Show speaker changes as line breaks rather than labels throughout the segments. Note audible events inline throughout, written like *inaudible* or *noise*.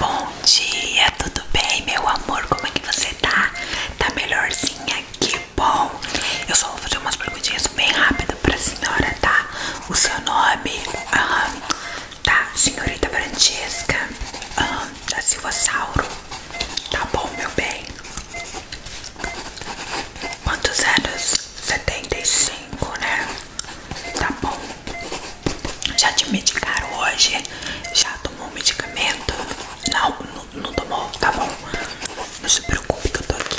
Bom dia, tudo bem, meu amor? Como é que você tá? Tá melhorzinha? Que bom! Eu só vou fazer umas perguntinhas bem rápido pra senhora, tá? O seu nome? Aham. Tá, senhorita Francesca. Aham, da Silva Tá bom, meu bem. Quantos anos? 75, né? Tá bom. Já te medicaram hoje? Já tomou medicamento? Não, não, tomou, tá bom. Não se preocupe que eu tô aqui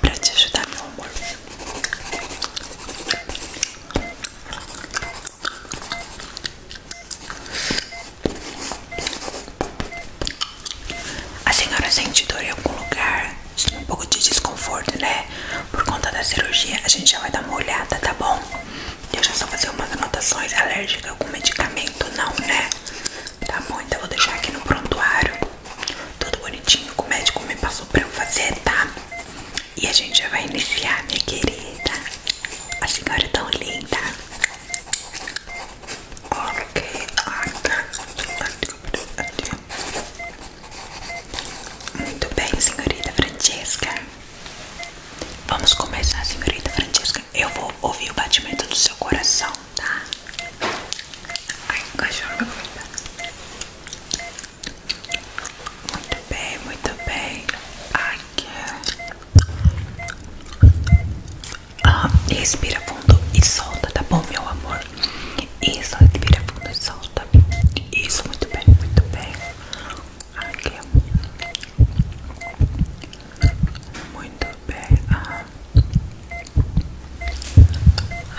pra te ajudar, meu amor. A senhora sente dor em algum lugar? Um pouco de desconforto, né? Por conta da cirurgia, a gente já vai dar uma olhada, tá bom? Deixa eu só fazer umas anotações. Alérgica a algum medicamento? Não, né? Tá bom, então vou deixar aqui no prontuário. Tudo bonitinho que o médico me passou pra eu fazer, tá? E a gente já vai iniciar, minha querida. A senhora é tão linda. Ok, muito bem, senhorita Francesca. Vamos começar, senhorita Francesca. Eu vou ouvir o batimento do seu coração, tá? Ai, cachorro meu Muito bem, muito bem. Ai, que. É. Ah, respira fundo e solta, tá bom, meu amor? Isso, respira fundo e solta. Isso, muito bem, muito bem. Aqui. Muito bem. Ah.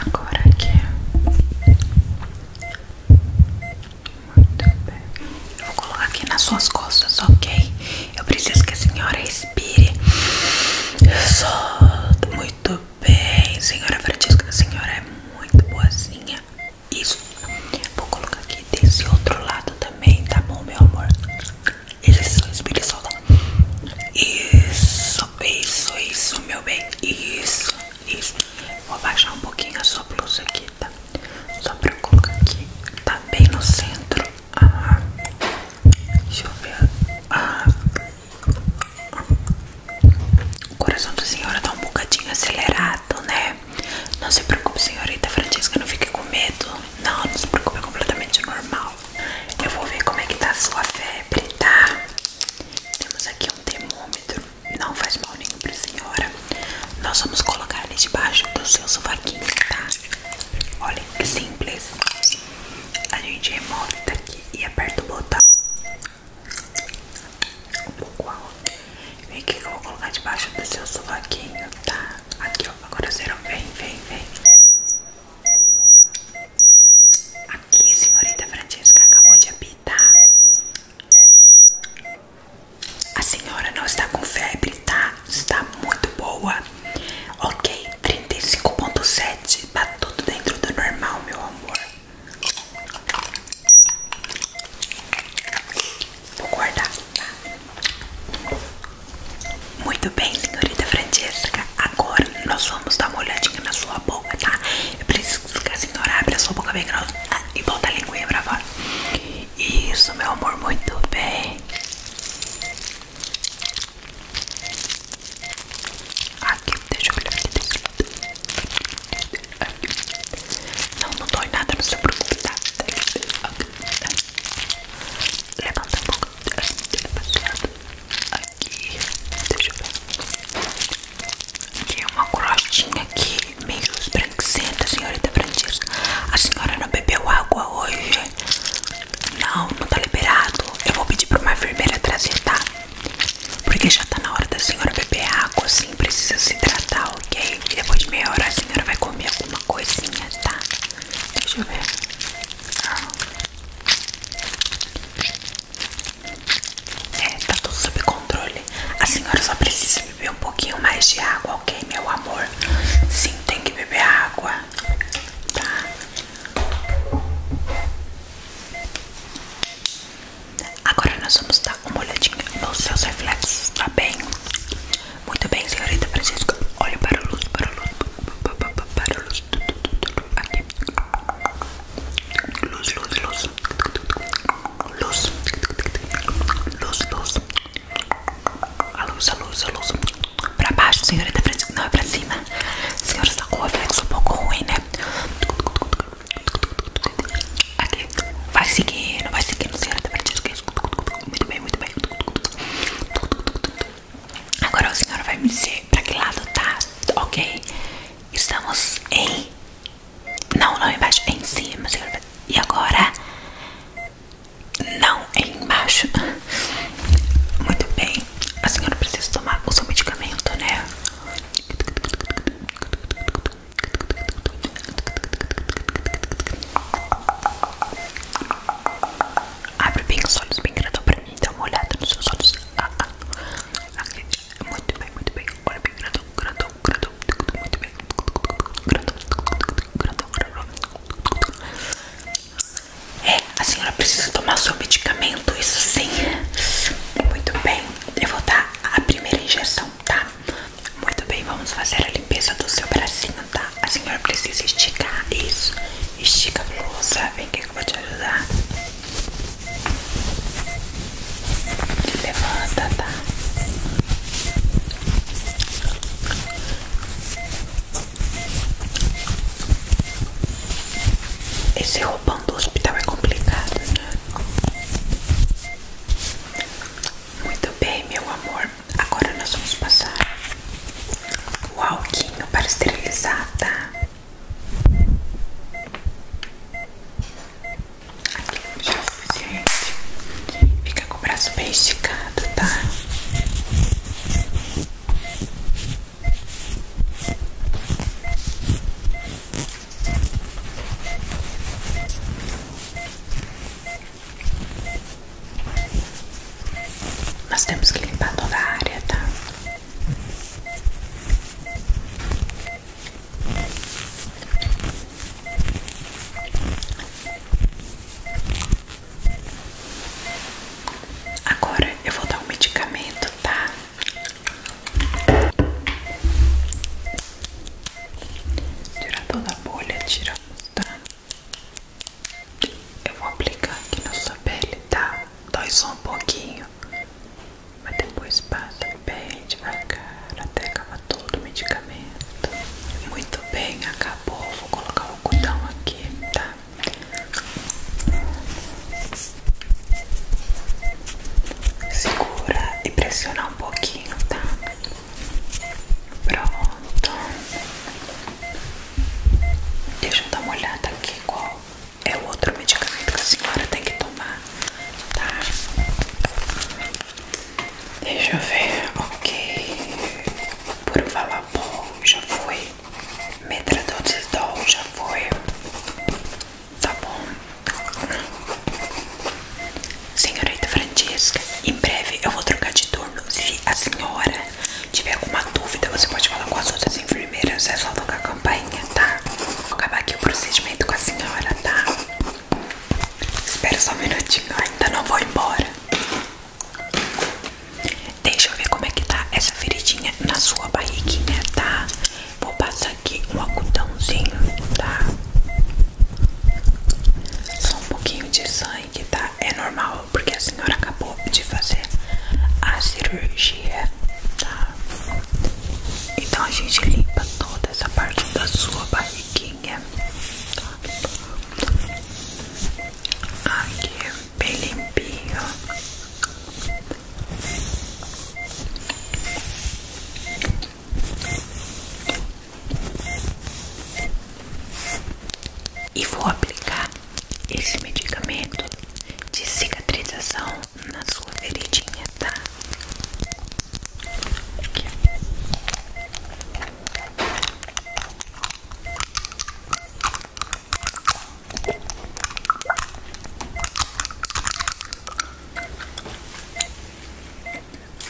Agora aqui. Muito bem. vou colocar aqui nas suas costas, ok? Eu preciso que a senhora respire. Solta. Muito bem, senhora Francisca. A senhora é muito boazinha. Isso. Vou colocar aqui desse outro lado também, tá bom, meu amor? Isso, respira é e solta. Isso, isso, isso, meu bem. Isso, isso. Vou baixar um pouquinho a sua blusa aqui, tá? Só pra eu colocar aqui. Tá bem no centro. Ah, deixa eu ver. Ah. O coração da senhora tá um bocadinho acelerado, né? Não se preocupe, senhorita Francesca, não fique com medo. Não, não se preocupe, é completamente normal. Eu vou ver como é que tá a sua febre, tá? Temos aqui um termômetro, não faz mal nenhum pra senhora. Nós vamos colocar ele debaixo do seu sovaquinho, tá? Olha que simples. A gente remove daqui e aperta o botão um pouco alto. Vem aqui que eu vou colocar debaixo do seu sovaquinho, tá? Aqui, ó. Agora será. Vem, vem, vem. Aqui, senhorita Francesca, acabou de apitar. A senhora não está com febre, tá? Está muito boa. Ok, 35.7. Tá tudo dentro do normal, meu amor. Vou guardar, tá? Muito bem, senhorita Francesca. Agora nós vamos dar uma olhadinha na sua boca, tá? Eu preciso ficar a senhora abra a sua boca bem grossa ah, e bota a linguinha pra fora. Isso, meu amor, muito bem. Aqui, deixa eu olhar aqui. Deixa eu olhar. Não, não dói nada, não se preocupe, tá? Levanta um pouco. Aqui, deixa eu ver. Tem é uma crostinha aqui, meio esbranquiçenta, senhorita Francisca. A senhora não bebeu água hoje? Não, não tá liberado. Eu vou pedir pra uma enfermeira trazer, tá? Porque já tá na hora da senhora beber água, assim, precisa se hidratar ok? E depois de meia hora a senhora vai comer alguma coisinha, tá? Deixa eu ver. Ah. É, tá tudo sob controle. A senhora só precisa beber um pouquinho mais de água, ok, meu amor? Sim, tem que beber água, tá? Ahora nós vamos dar una olhadinha nos seus reflexos, tá bem? Muito bem, senhorita Francisca. Olhe para la luz, para la luz, para luz. Luz, luz, luz. Luz. Luz, luz. A luz, a luz, a luz. Para baixo, senhorita Francisca. Não, é para cima. Senhora, está com o reflexo un pouco ruim, né? Aqui. Vai seguindo, vai seguindo, senhora. Muito bem, muito bem. Agora a senhora vai me dizer pra que lado tá, ok? Estamos em. Não, não embaixo, em cima, senhora. E agora? Não, é embaixo. Muito bem. A senhora precisa tomar o seu medicamento, né? Abre bem os olhos, bem grandão pra mim. Dá uma olhada nos seus olhos. Ah, ah. Ah, muito bem, muito bem. Olha bem grandão, grandão, grandão. Muito bem. Grandão, grandão, grandão. É, a senhora precisa tomar seu medicamento, isso sim. Muito bem. Eu vou dar a primeira injeção tá? Muito bem, vamos fazer a limpeza do seu bracinho, tá? A senhora precisa esticar isso. Estica a blusa. Vem aqui que eu vou te ajudar. Levanta, tá? Esse roupão do hospital é complicado, né? Muito bem, meu amor. Agora nós vamos passar o alquinho para esterilizar, tá? Aqui já é o suficiente. Fica com o braço bem esticado, tá? Nós temos que limpar toda a área, tá? Agora eu vou dar o medicamento, tá? Tirar toda a bolha, tiramos, tá? Eu vou aplicar aqui na sua pele, tá? Dói só um pouquinho, mas depois passa bem devagar até acabar todo o medicamento. Muito bem, acabou. Vou colocar o algodão aqui, tá? Segura e pressiona um pouquinho, tá? Pronto. Deixa eu dar uma olhada aqui qual é o outro medicamento que a senhora tem que tomar, tá? Deixa eu ver, ok. Por falar bom, já foi. Metradol já foi. Tá bom. Senhorita Francesca, em breve eu vou trocar de turno. Se a senhora tiver alguma dúvida, você pode falar com as outras enfermeiras. É só tocar a campainha, tá? Vou acabar aqui o procedimento com a senhora, tá? Espera só um minutinho, ainda não vou embora. Deixa eu ver como é que tá essa feridinha na sua barriguinha, tá? Vou passar aqui um algodãozinho, tá? Só um pouquinho de sangue, tá? É normal, porque a senhora acabou de fazer a cirurgia, tá? Então a gente limpa toda essa parte da sua barriguinha, tá? Aqui, bem limpinho. E vou aplicar esse medicamento de cicatrização na sua feridinha, tá?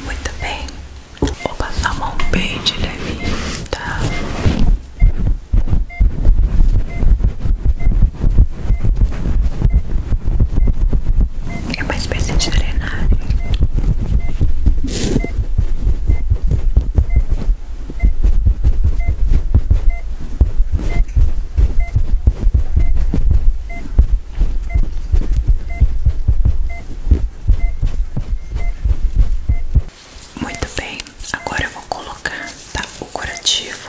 Muito bem, vou passar mão bem de leve, tá? É uma espécie de drenagem. Muito bem, agora eu vou colocar tá, o curativo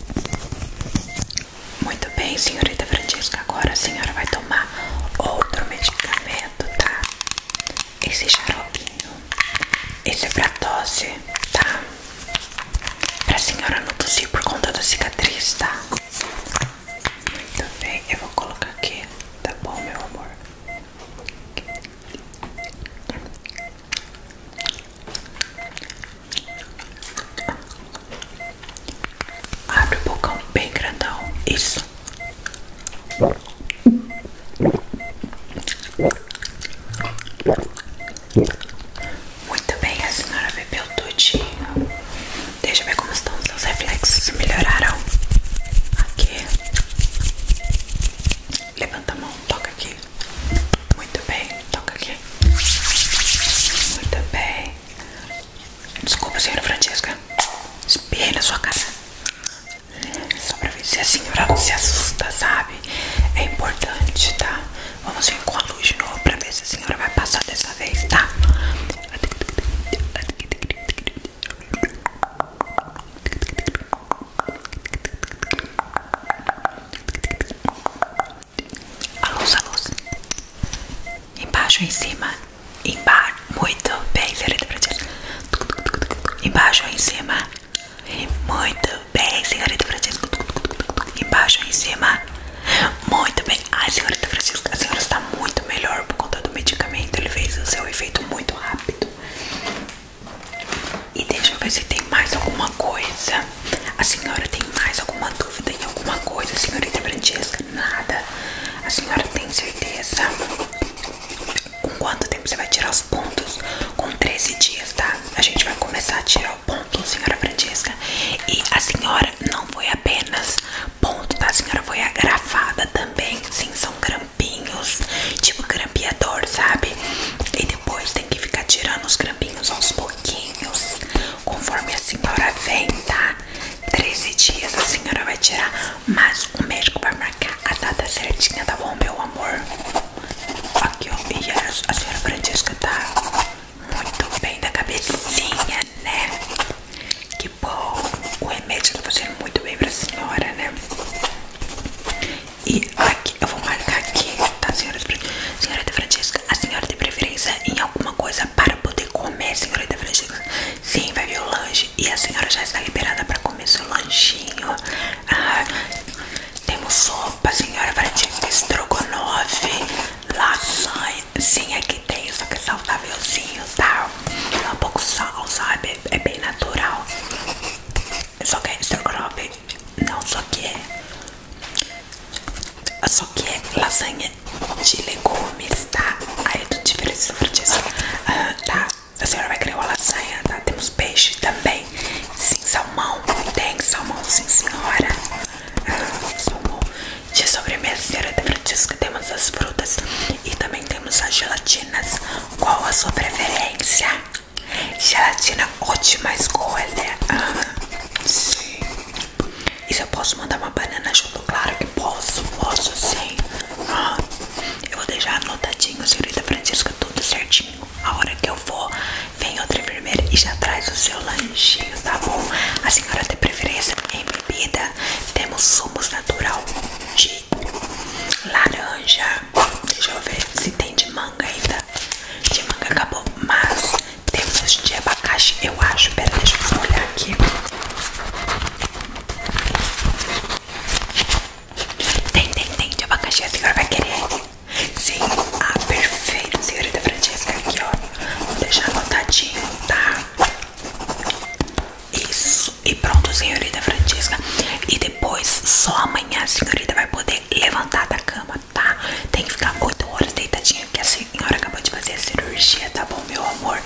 Muito bem, senhorita Francisca. Agora a senhora vai tomar outro medicamento, tá? Esse xaropinho. Esse é pra tosse, tá? Pra senhora não tossir por conta da cicatriz, tá? Muito bem, eu vou colocar aqui, tá bom, meu amor? Abre o bocão bem grandão. Isso. Muito bem, a senhora bebeu tudinho. Deixa eu ver como estão os seus reflexos. Melhoraram? Aqui. Levanta levanta mão, toca aqui. Muito bem, toca aqui. Muito bem. Desculpa, senhora Francisca. Espirrei na sua casa Só pra ver se a senhora se assusta, sabe? É importante, tá? Vamos vir com a luz de novo pra ver se a senhora vai passar dessa vez, tá? Alô, alô. a Embaixo, em cima. Embaixo. Muito bem, senhorita Francisco. Embaixo, em cima. Muito bem, senhorita Francisco. Embaixo, em cima. Muito bem. Ai, senhorita Francesca, a senhora está muito melhor por conta do medicamento. Ele fez o seu efeito muito rápido. E deixa eu ver se tem mais alguma coisa. A senhora tem mais alguma dúvida em alguma coisa, senhorita Francesca? Nada. A senhora tem certeza? Com quanto tempo você vai tirar os pontos? Com 13 dias, tá? A gente vai começar a tirar o ponto, senhora Francesca. E a senhora não foi apenas ponto, tá? A senhora foi agrafada também. Sim, são grampinhos, tipo grampeador, sabe? E depois tem que ficar tirando os grampinhos copinhos aos pouquinhos, conforme a senhora vem, tá? 13 dias a senhora vai tirar, mas o médico vai marcar a data certinha, tá bom, meu amor? Aqui, ó, e a senhora Francisca tá muito bem da cabecinha, né? Que bom, o remédio tá fazendo muito bem para a senhora, né? E aqui, eu vou marcar aqui, tá, senhora de, senhora de Francisca? A senhora tem preferência em alguma coisa para poder comer, senhora de Francisca? Sim, vai vir o lanche. E a senhora já está liberada para comer seu lanchinho. Ah, temos sopa, senhora Francesca estrogonofe, lasanha. Sim, aqui tem, só que é saudávelzinho, tá? É um pouco sal, sabe? É bem natural. Só que é estrogonofe. Não, só que é só que é lasanha de legumes, tá? Aí é tudo diferente sobre disso. Ah, tá, a senhora vai querer uma lasanha, tá? Temos peixe também. Sim, salmão. Tem salmão, sim, senhora. Ah, salmão. De sobremesa, senhora de Francisca, temos as frutas e também temos as gelatinas. Qual a sua preferência? Gelatina ótima escolha. É, né? ah, sim. E se eu posso mandar uma banana junto? Claro que posso, posso sim. Ah, eu vou deixar anotadinho, senhorita Francisca, tudo certinho. A hora que eu for, vem outra enfermeira e já traz o seu lanche. tá bom? A senhora tem preferência em bebida? Temos sumos natural de laranja. Deixa eu ver se tem de manga ainda. De manga acabou Mas temos de abacaxi Eu acho, pera, deixa eu olhar aqui Tem, tem, tem de abacaxi A senhora vai querer Sim, ah, perfeito Senhorita Francisca aqui ó Vou deixar anotadinho, tá? Isso, e pronto, senhorita Francisca E depois, só amanhã a senhorita vai poder levantar da cama, Tá? Tem que ficar 8 horas deitadinha, porque a senhora acabou de fazer a cirurgia, tá bom, meu amor?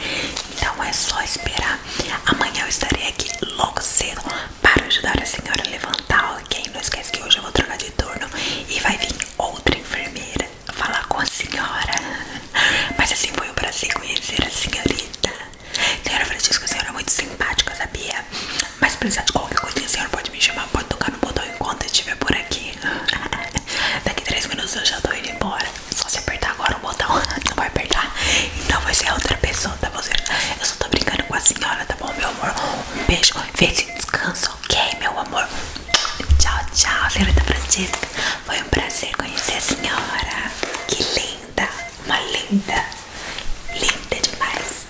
Então é só esperar. Amanhã eu estarei aqui logo cedo para ajudar a senhora a levantar, ok? Não esquece que hoje eu vou trocar de turno e vai vir outra enfermeira falar com a senhora. *laughs* Mas assim foi um prazer conhecer a senhorita. Senhora Francisco, a senhora é muito simpática, sabia? quiser. Mas precisar de qualquer coisinha, a senhora pode me chamar, pode tocar no botão enquanto eu estiver por aqui. *laughs* Daqui 3 minutos eu já tô indo embora. É só se apertar agora o botão, *laughs* não vai apertar. Então vai ser outra pessoa, tá bom? Eu só tô brincando com a senhora, tá bom, meu amor? Um beijo, fez e descanso, ok, meu amor? Tchau, tchau, senhorita Francisca. Foi um prazer conhecer a senhora. Que linda, uma linda, linda demais.